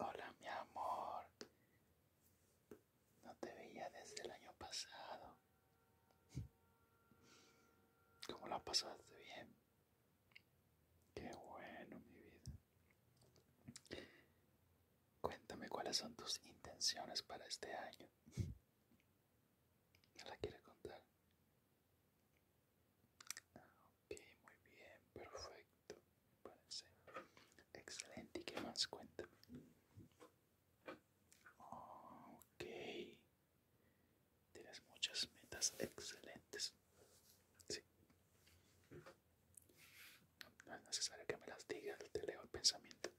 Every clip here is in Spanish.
Hola mi amor, no te veía desde el año pasado. ¿Cómo la pasaste bien? Qué bueno mi vida. Cuéntame cuáles son tus intenciones para este año. ¿No la quieres contar? Ok, muy bien, perfecto. Parece. Excelente, ¿y qué más? cuenta Ok. Tienes muchas metas excelentes. Sí. No es necesario que me las digas, te leo el pensamiento.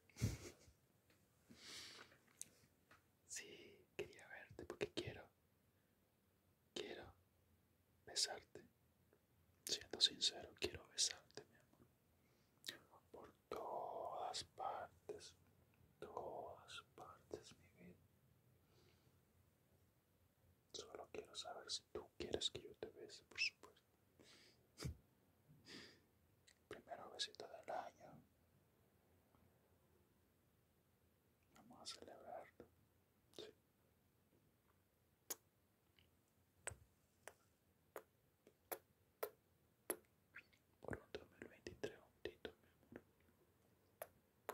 Sí, quería verte porque quiero. Quiero besarte. Siendo sincero, quiero besarte, mi amor. Por todas partes, todas partes, mi vida. Solo quiero saber si tú quieres que yo te bese, por supuesto. El primero besito del año. Vamos a celebrarlo. Sí. Por un 2023 juntito, mi amor.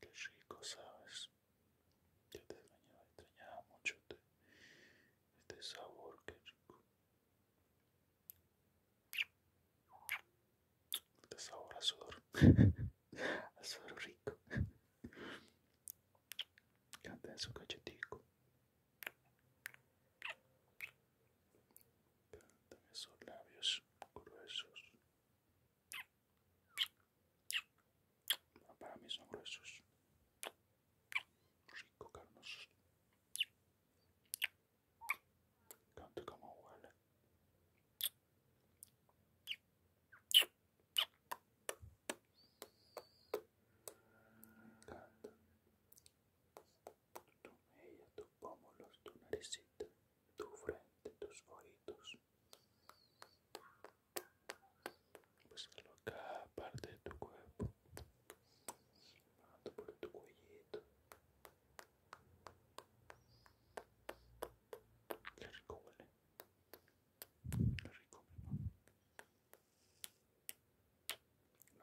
Qué rico, ¿sabes? Yo te extrañaba, extrañaba mucho este, este sabor, que rico. Este sabor azul sudor. rico. Canta en su cachetico. en sus labios gruesos para mí son gruesos. Rico, carnosos. Canta como huele. Me encanta. Tu mella, tus pómulos, tu naricita, tu frente, tus ojitos. Pues a cada parte de tu cuerpo, bajando tu cuellito. Qué rico huele, qué No,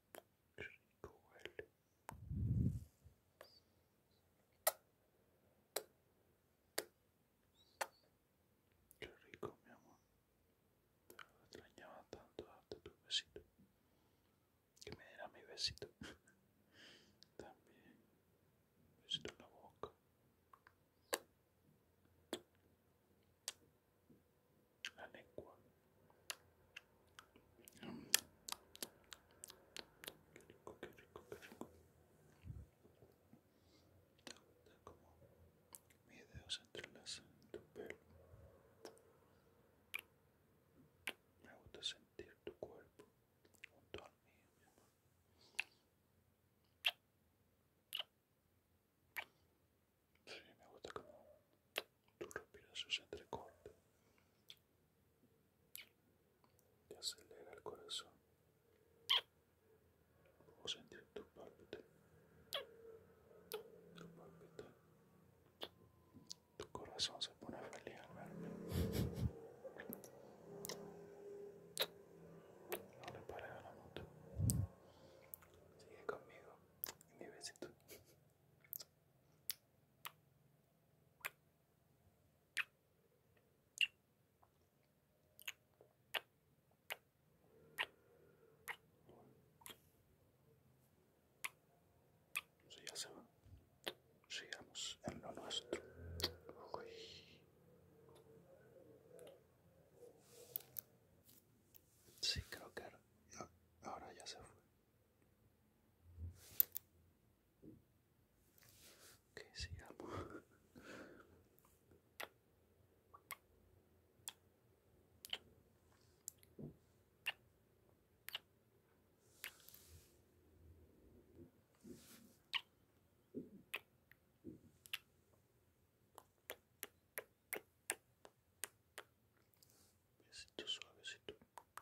Qué rico huele. Qué rico, mi amor. Te lo extrañaba tanto hasta tu besito. Que me diera mi besito. También. Besito en la boca. La lengua. Qué rico, qué rico, qué rico. Está como mis dedos entrelazan tu pelo. Me gusta sentir tu cuerpo junto al mío, mi amor. Sí, me gusta como tu respiración se entrecorta. Te acelera el corazón. Puedo sentir tu palpite. Tu pálpite. Tu corazón se pone feliz al verme. No le pare a la moto. Sigue conmigo y mi besito. Sí, ya se va. Sigamos en lo nuestro. Sí, creo que ahora ya se fue que se llama besito tú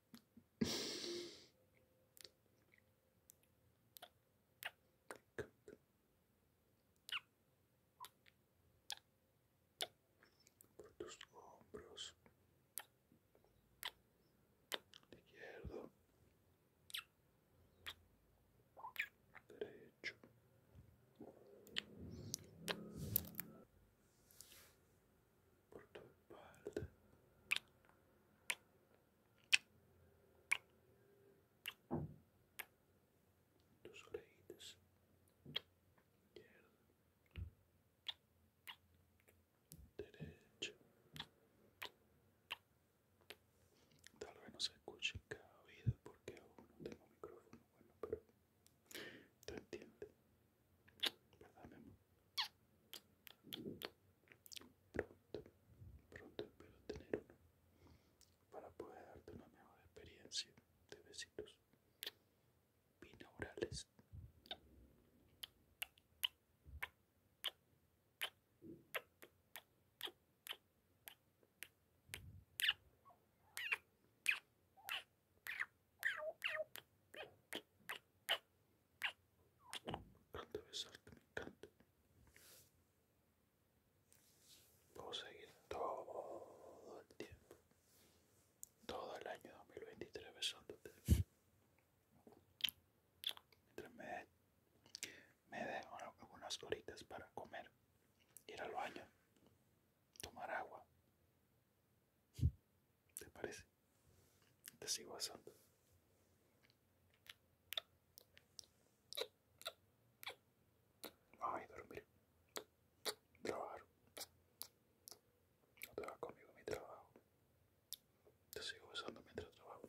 por tus hombros izquierdo derecho por tu espalda. Tus orejitas. Derecho. Tal vez no se escuche cada vida porque aún no tengo micrófono bueno, pero ¿te entiende? ¿Verdad, Pronto, pronto espero tener uno para poder darte una mejor experiencia de besitos binaurales. Encanta besarte, me encanta. Puedo seguir todo el tiempo, todo el año 2023 besándote. Mientras me, me dejo algunas horitas para comer, ir al baño, tomar agua, ¿Te parece? Te sigo asando. Ay, dormir. Trabajar. No te vas conmigo a mi trabajo. Te sigo usando mientras trabajo.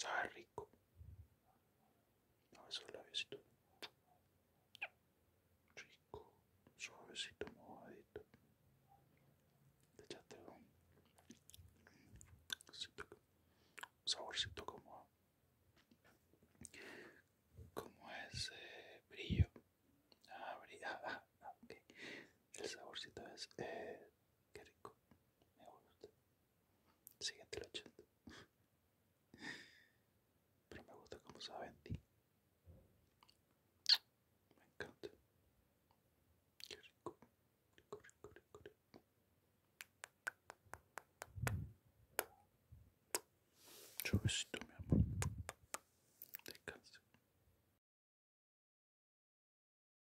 Sabe rico. No, esos labiositos. Rico, suavecito, mojadito. de echaste un saborcito como, como ese brillo. Ah, ah, ah El saborcito es... Eh, qué rico. Me gusta. Siguiente el 80. Pero me gusta como sabe en ti. Me encanta. Qué rico. Rico, rico, rico, rico. besito, mi amor. Descansa.